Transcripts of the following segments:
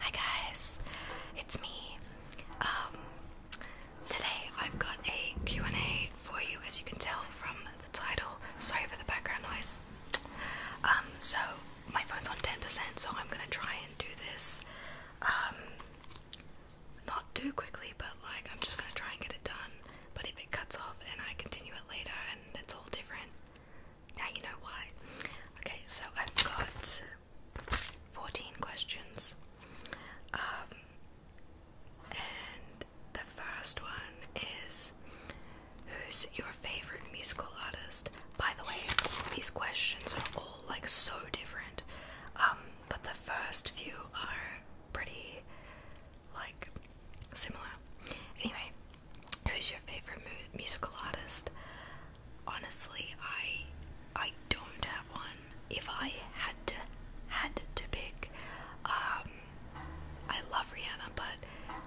Hi guys, it's me. Um, today I've got a Q&A for you, as you can tell from the title. Sorry for the background noise. Um, so my phone's on 10%, so I'm gonna try and do this, um, not too quickly, but like I'm just gonna try and get it done. But if it cuts off and I continue it later and it's all different, now you know why. Okay, so I've got 14 questions. Um, and the first one is Who's your favorite musical artist? By the way, all these questions are all like so different. Um, but the first few are pretty like similar. Anyway, Who's your favorite musical artist? Honestly, I I don't have one. If I had to had to pick, um, I love Rihanna, but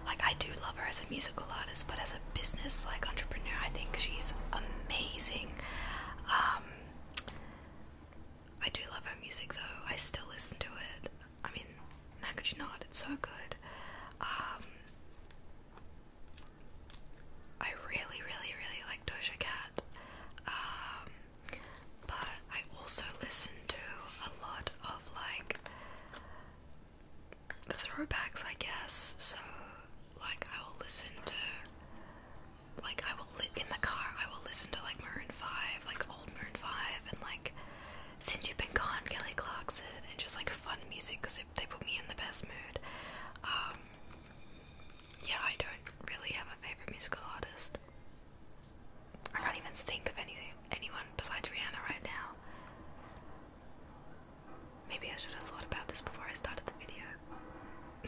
like I do love her as a musical artist, but as a business like entrepreneur, I think she's amazing. Um, I do love her music though. I still listen to it. I mean, how could you not? It's so good. Um, I really, really, really like Doja Cat, um, but I also listen to a lot of like the throwbacks, I guess. So, like, I will listen to, like, I will in the car, I will listen to like Maroon Five, like old Maroon Five, and like since You've Been Gone, Kelly Clarkson, and just like fun music because they put me in the best mood. Um, yeah, I don't really have a favorite musical artist. I can't even think of anything, anyone besides Rihanna right now. Maybe I should have thought about this before I started the video.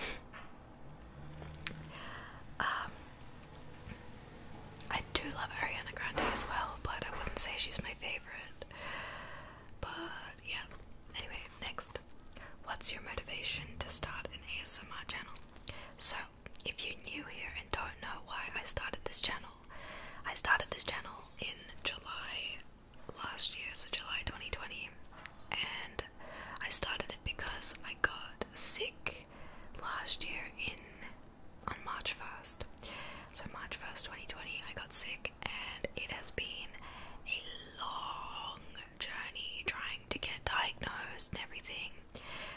Um, I do love Ariana Grande as well, but I wouldn't say she's my favorite. But yeah. Anyway, next. What's your motivation to start an ASMR channel? So, if you're new here and don't know why I started this channel, I started this channel in July last year, so July 2020, and I started it because I got sick last year in on March 1st. So, March 1st, 2020, I got sick, and it has been a long journey trying to get diagnosed and everything.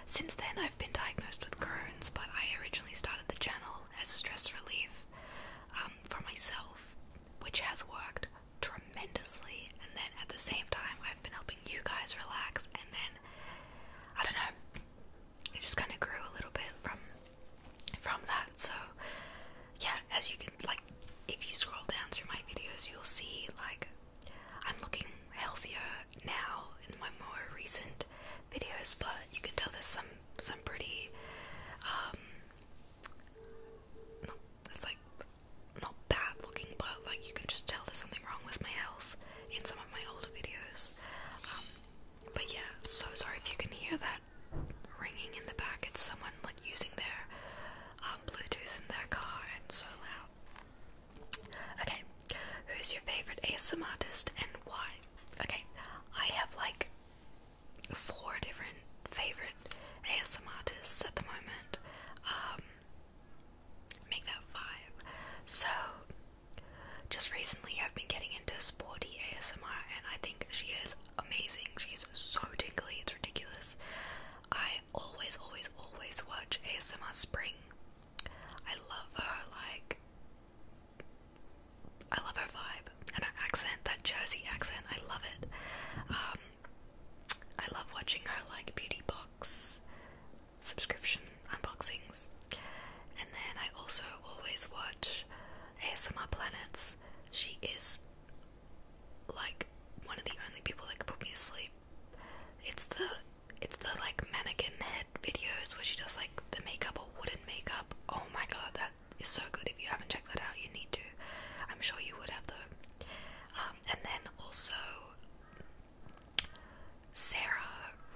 Since then, I've been diagnosed with Crohn's, but I originally started the channel as a stress relief um, for myself, which has worked tremendously. And then at the same time, I've been helping you guys relax, and then I don't know, it just kind of grew a little bit from from that. So yeah, as you can like if you scroll down through my videos you'll see like I'm looking healthier now in my more recent videos, but you can tell there's some some pretty um no it's like not bad looking but like you can just tell there's something wrong with my health in some of my older videos. Um, but yeah, so sorry if you can hear that ringing in the back. It's someone like using their um, Bluetooth in their car. and so loud. Okay, who's your favorite ASM artist and why? Okay, I have like four different favorite ASM artists at the moment. Um, make that five. So just recently, I've been getting into sporty ASMR, and I think she is amazing. She's so tingly; it's ridiculous. I always, always, always watch ASMR Spring. I love her, like, I love her vibe and her accent, that Jersey accent. I love it. Um, I love watching her, like, beauty box subscription unboxings. And then I also always watch ASMR Planets. She is like one of the only people that could put me asleep. It's the it's the like mannequin head videos where she does like the makeup or wooden makeup. Oh my god, that is so good. If you haven't checked that out, you need to. I'm sure you would have though. Um, and then also Sarah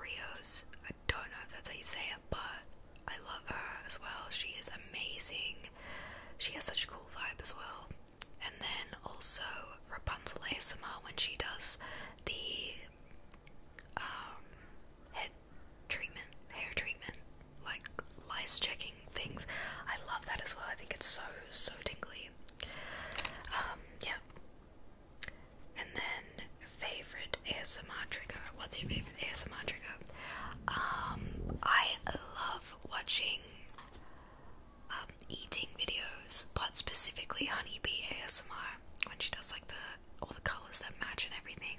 Rios. I don't know if that's how you say it, but I love her as well. She is amazing. She has such a cool vibe as well. And then also Rapunzel ASMR when she does the um, head treatment, hair treatment, like lice checking things. I love that as well. I think it's so, so tingly. Um, yeah. And then favorite ASMR trigger. What's your favorite ASMR trigger? Um, I love watching um, eating videos, but specifically Honeybee ASMR when she does like the all the colors that match and everything.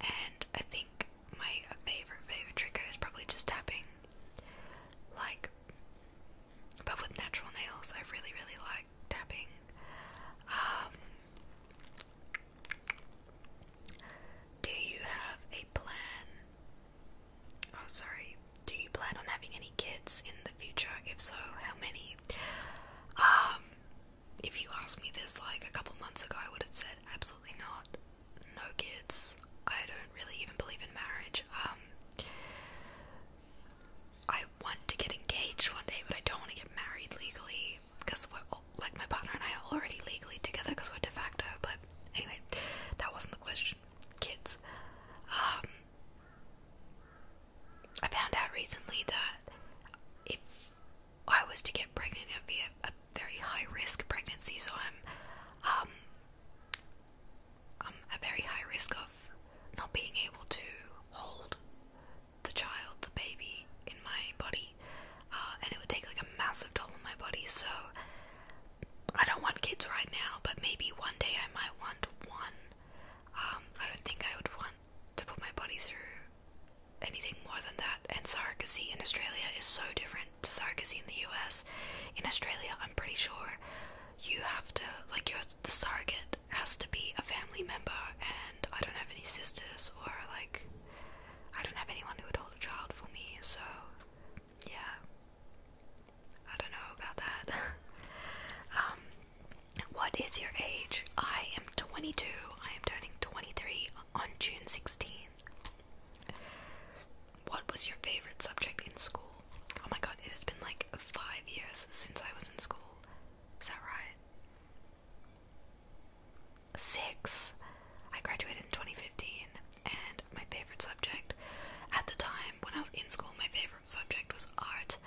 And I think my favorite favorite trigger is probably just tapping, like, but with natural nails. I really really like tapping. Um, do you have a plan? Oh, sorry. Do you plan on having any kids in the future? If so, how many? Um, if you asked me this like a couple months ago, I would have said absolutely not. No kids. I don't really even believe in marriage. Um, I want to get engaged one day, but I don't want to get married legally because we're like my partner and I are already legally together because we're de facto. But anyway, that wasn't the question. Kids. Um, I found out recently that if I was to get pregnant, it'd be a, very high risk pregnancy. So I'm, um, I'm a very high risk of not being able to hold the child, the baby, in my body, uh, and it would take like a massive toll on my body. So I don't want kids right now, but maybe one day I might want one. Um, I don't think I would want to put my body through anything more than that. And surrogacy in Australia is so different to surrogacy in the U.S. In Australia, I'm pretty sure you have to like you're the surrogate has to be a family member, and I don't have any sisters or like I don't have anyone who would hold a child for me, so yeah. I don't know about that. um what is your age? I am 22. I am turning 23 on June sixteenth. What was your favorite subject in school? Oh my god, it has been like 5 years since I was in school. Is that right? six. I graduated in 2015, and my favorite subject at the time when I was in school, my favorite subject was art.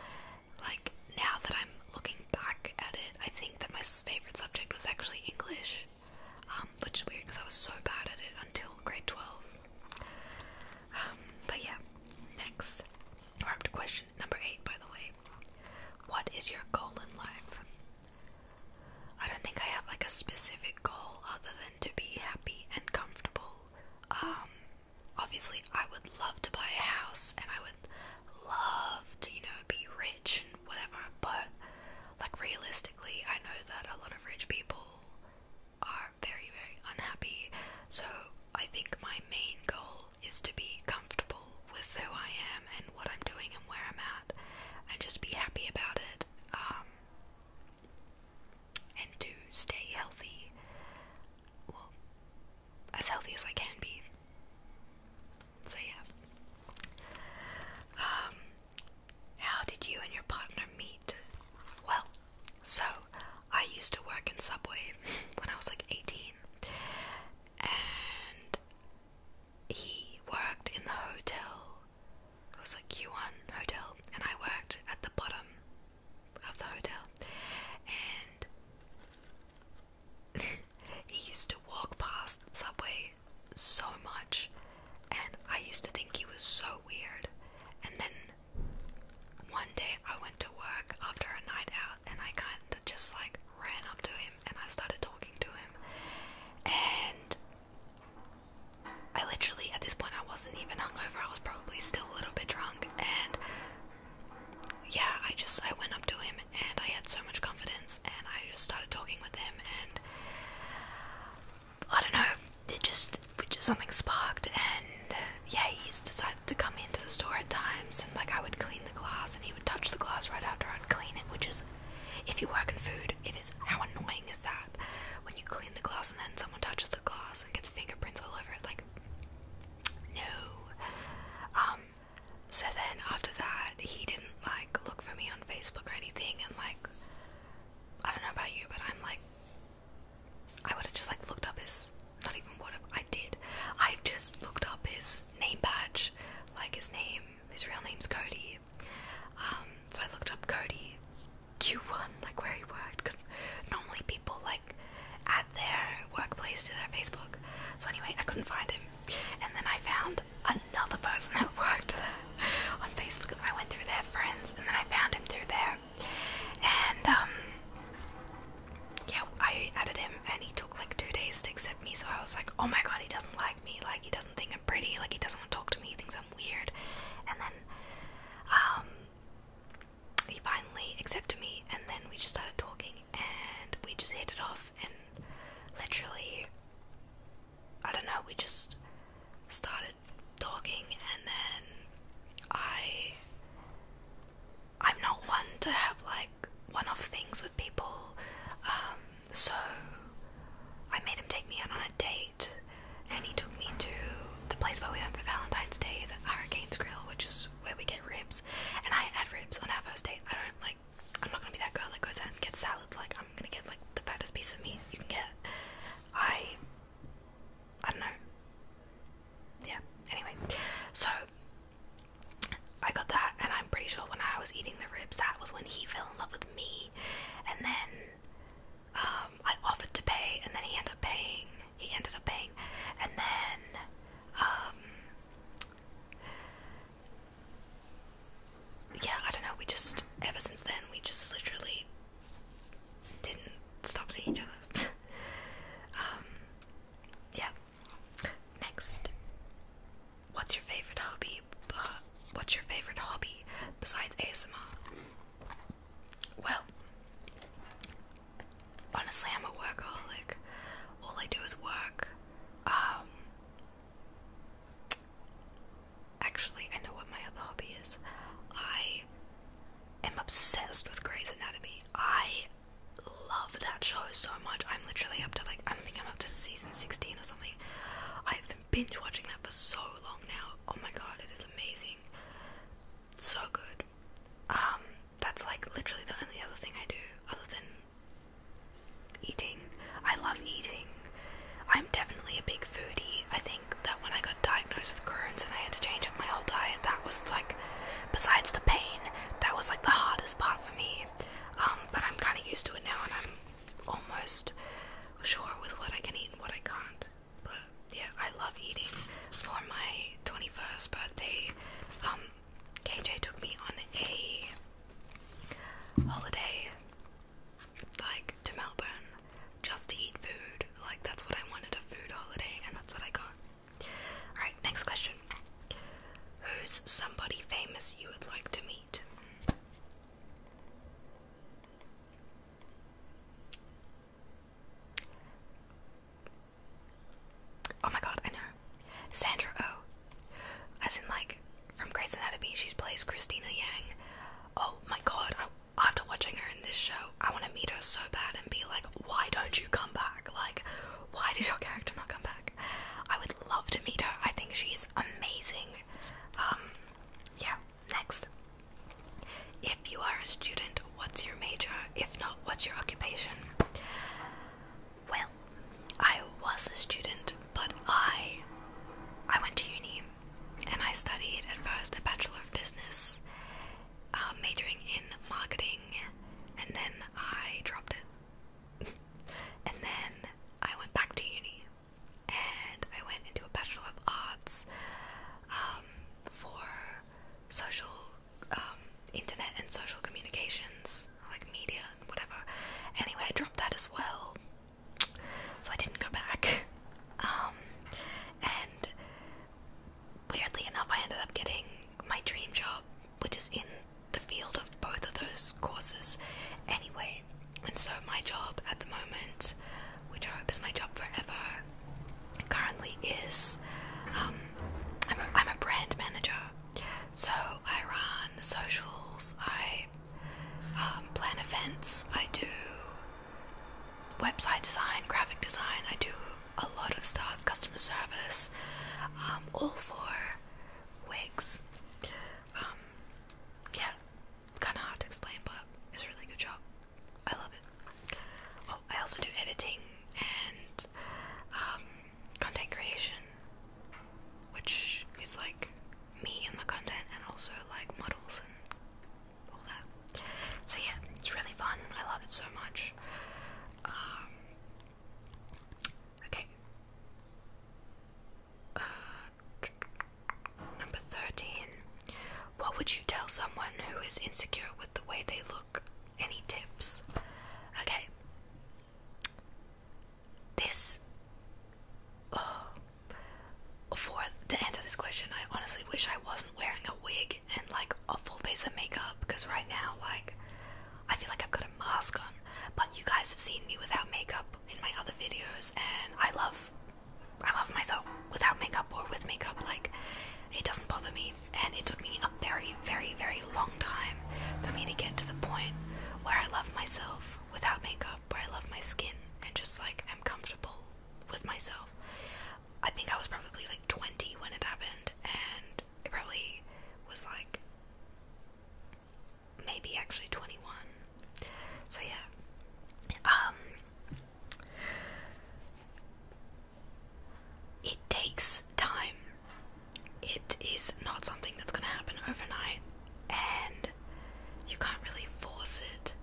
Like, now that I'm looking back at it, I think that my favorite subject was actually English, um, which is weird because I was so bad at it until grade 12. Um, but yeah, next. we question number eight, by the way. What is your goal in life? I don't think I have like a specific goal other than to be happy and comfortable. Um, obviously, I would love to buy a house and I would love to, you know, be rich and whatever, but like realistically, I know that a lot of rich people are very, very unhappy. So, I think my main goal is to be comfortable with who I am and what I'm doing and where I'm at, and just be happy about it, um, and to stay healthy, well, as healthy as I can be. So, yeah. Um, how did you and your partner meet? Well, so I used to work in Subway when I was like 18, and he worked in the hotel. It was like Q1 hotel, and I worked at the bottom of the hotel. And he used to walk past Subway so much, and I used to think he was so weird. And then one day I went to work after a night out and I kinda just like ran up to him and I started talking to him and I literally at this point I wasn't even hungover, I was probably still a little bit drunk and yeah, I just I went up to him and I had so much confidence and I just started talking with him and I don't know, it just just something sparked and yeah, he's decided dad to come into the store at times and like I would clean the glass and he would touch the glass right after I'd clean it, which is if you work in food, it is how annoying is that when you clean the glass and then someone touches the glass and gets fingerprints all over it like no. Um so then after that he didn't like look for me on Facebook or anything and like I don't know about you but I'm like I would have just like looked up his not even what I did. I just looked up his name badge, like his name, his real name's Cody. Um, so I looked up Cody Q1, like where he worked, because normally people like add their workplace to their Facebook. So anyway, I couldn't find him, and then I found another person that worked on Facebook. And I went through their friends, and then I found him through there, and um yeah, I added him and he took like two days to accept me. So I was like, oh my god, he doesn't like me. Like, he doesn't think I'm pretty. Like, he doesn't want to talk to me. He thinks I'm weird. And then, um, he finally accepted me. And then we just started talking and we just hit it off. And literally, I don't know, we just started talking. And then I I'm not one to have like one off things with people, um, so I made him take me out on a date and he took me to the place where we went for Valentine's Day, the Hurricane's Grill, which is where we get ribs. And I had ribs on our first date. I don't like, I'm not gonna be that girl that goes out and gets salad, like, I'm gonna get like the fattest piece of meat you can get. I, I don't know. Yeah, anyway, so I got that, and I'm pretty sure when I was eating the ribs, that was when he fell in love with me. And then um, I offered to pay, and then he ended up paying. He ended up paying, and then um, yeah, I don't know. We just ever since then we just literally didn't stop seeing each other. Um, yeah, Next, what's your favorite hobby? what's your favorite hobby besides ASMR? Well, honestly, I'm a workaholic. All I do is work. Um, actually, I know what my other hobby is. I am obsessed with Grey's Anatomy. I love that show so much. I'm literally up to like I think I'm up to season 16 or something. I've been binge watching that for so long now. Oh my god, it is amazing. So good. Um, that's like literally the only other thing I do other than eating. I love eating. I'm definitely a big foodie. I think that when I got diagnosed with Crohn's and I had to change up my whole diet, that was like Besides the pain, that was like the hardest part for me. Um, but I'm kind of used to it now, and I'm almost sure with what I can eat and what I can't. But yeah, I love eating. For my 21st birthday, um, KJ took me on a holiday, like to Melbourne, just to eat food. Like that's what I wanted—a food holiday, and that's what I got. Alright, next question. Who's somebody famous you would like to meet? Oh my god, I know. Sandra Oh. As in, like, from Grey's Anatomy, she plays Christina Yang. Oh my god, after watching her in this show, I want to meet her so bad and be like, why don't you come back? Like, why did your character not come back? I would love to meet her. I think she is amazing. Um, yeah, next. If you are a student, what's your major? If not, what's your occupation? Well, I was a student, but I I went to uni and I studied at first a Bachelor of Business uh, majoring in marketing, and then I dropped it. and then I went back to uni, and I went into a Bachelor of Arts um, for social, um, internet, and social communications, like media and whatever. Anyway, I dropped that as well, so I didn't go back. Um, and weirdly enough, I ended up getting my dream job, which is in the field of both of those courses anyway. And so, my job at the moment, which I hope is my job forever, currently is um, I'm, a, I'm a brand manager. So, I run socials, I um, plan events, I do website design, graphic design, I do a lot of stuff, customer service, um, all for wigs. Um, yeah, kind of hard to explain, but it's a really good job. I love it. Oh, I also do editing and um, content creation, which is like me and the content, and also like models and all that. So yeah, it's really fun. I love it so much. Um, okay. Uh, number 13. What would you tell someone who is insecure with the way they look? Any tips? Okay. This. Oh, for to answer this question, I honestly wish I was wearing a wig and like a full face of makeup because right now, like, I feel like I've got a mask on. But you guys have seen me without makeup in my other videos, and I love, I love myself without makeup or with makeup. Like, it doesn't bother me. And it took me a very, very, very long time for me to get to the point where I love myself without makeup, where I love my skin and just like i am comfortable with myself. I think I was probably like 20 when it happened, and it probably was like maybe actually 21. So yeah. Um, it takes time. It is not something that's going to happen overnight and you can't really force it,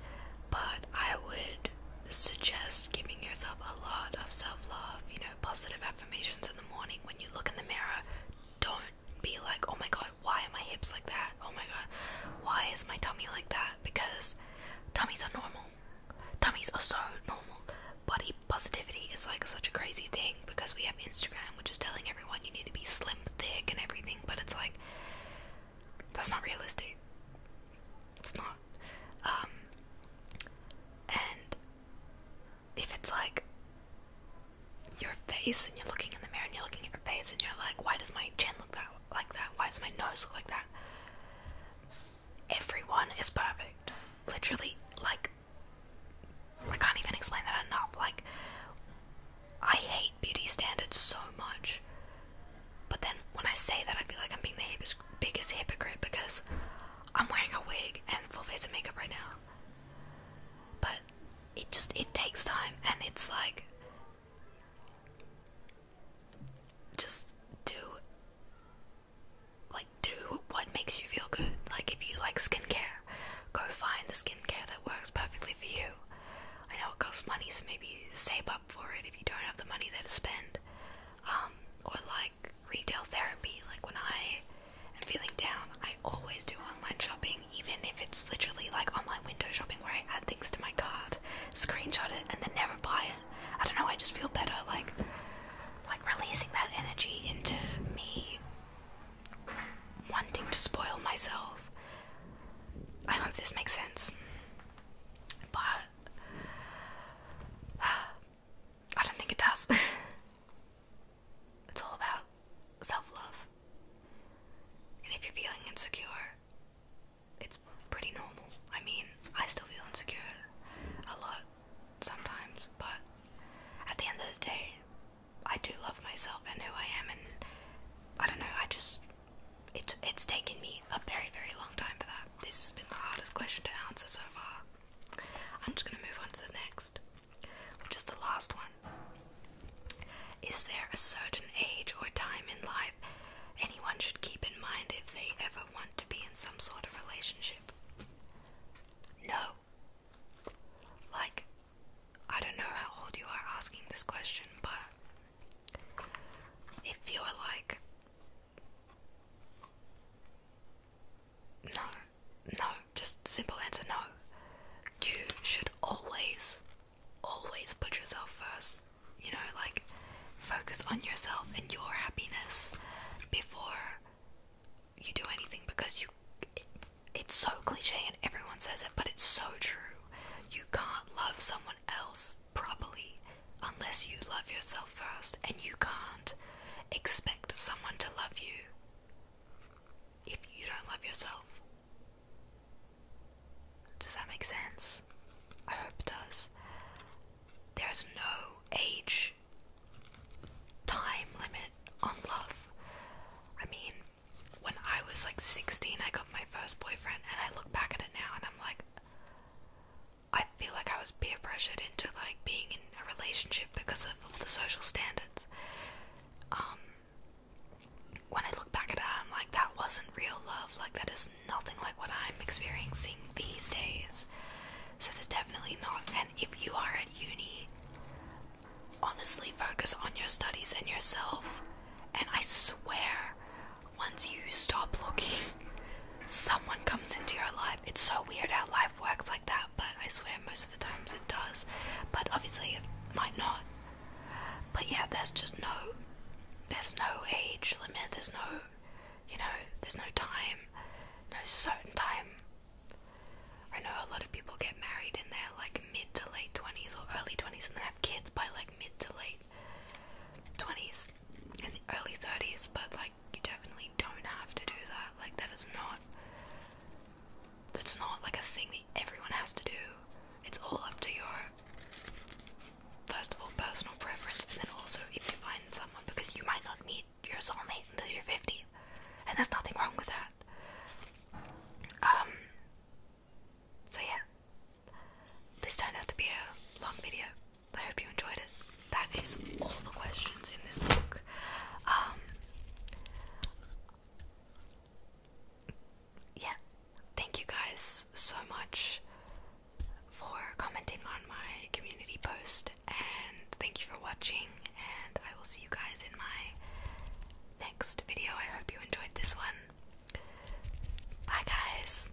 but I would suggest giving yourself a lot of self-love, you know, positive affirmations in the morning when you look in the mirror. Don't be like, oh my god, why are my hips like that? Oh my god, why is my tummy like that? Because tummies are normal. Tummies are so normal. Body positivity is like such a crazy thing because we have Instagram, which is telling everyone you need to be slim, thick, and everything, but it's like, that's not realistic. It's not. Um, and if it's like your face and you're looking in the mirror and you're looking at your face and you're like, why does my chin look that like that? Why does my nose look like that? Everyone is perfect. Literally, like I can't even explain that enough. Like I hate beauty standards so much. But then when I say that I feel like I'm being the biggest hypocrite because I'm wearing a wig and full face of makeup right now. But it just it takes time and it's like just do like do what makes you feel good. Like if you like skincare, go find the skincare that works perfectly for you. I know it costs money, so maybe save up for it if you don't have the money there to spend. Um, or like retail therapy. Like when I am feeling down, I always do online shopping, even if it's literally like online window shopping where I add things to my cart, screenshot it, and then never buy it. I don't know, I just feel better like like releasing that energy into me wanting to spoil myself. I hope this makes sense. But I don't think it does. it's all about self love. And if you're feeling insecure, it's pretty normal. I mean, I still feel insecure a lot sometimes, but at the end of the day, I do love myself and who I am, and I don't know, I just. It's, it's taken me a very, very long time for that. This has been the hardest question to answer so far. I'm just going to move on to the next, which is the last one. Is there a certain age or time in life anyone should keep in mind if they ever want to be in some sort of relationship? No. Like, I don't know how old you are asking this question, but if you're like no, no, just simple answer no. You should always, always put yourself first. You know, like focus on yourself and your happiness before you do anything because you. it's so cliche and everyone says it, but it's so true. You can't love someone else properly unless you love yourself first, and you can't expect someone to love you if you don't love yourself. Does that make sense? I hope it does. There is no age time limit on love. I mean, when I was like 16, I got my first boyfriend, and I look back at it now and I'm like, I feel like I was peer pressured into like being in a relationship because of all the social standards. Um, when I look back at it, I'm like, that wasn't real love. Like, that is nothing like what I'm experiencing these days. So, there's definitely not. And if you are at uni, honestly focus on your studies and yourself. And I swear, once you stop looking someone comes into your life. It's so weird how life works like that, but I swear most of the times it does. But obviously, it might not. But yeah, there's just no, there's no age limit. There's no, you know, there's no time, no certain time. I know a lot of people get married in their like mid to late twenties or early twenties, and then have kids by like mid to late twenties and early thirties. But like, you definitely don't have to do that. Like that is not that's not like a thing that everyone has to do. It's all up to your first of all personal preference and then also if you find someone because you might not meet your soulmate until you're 50 and there's nothing wrong with that um so yeah this turned out to be a long video I hope you enjoyed it. That is all the questions in this book. Um, yeah, thank you guys so much for commenting on my community post, and thank you for watching. And I will see you guys in my next video. I hope you enjoyed this one. Bye, guys.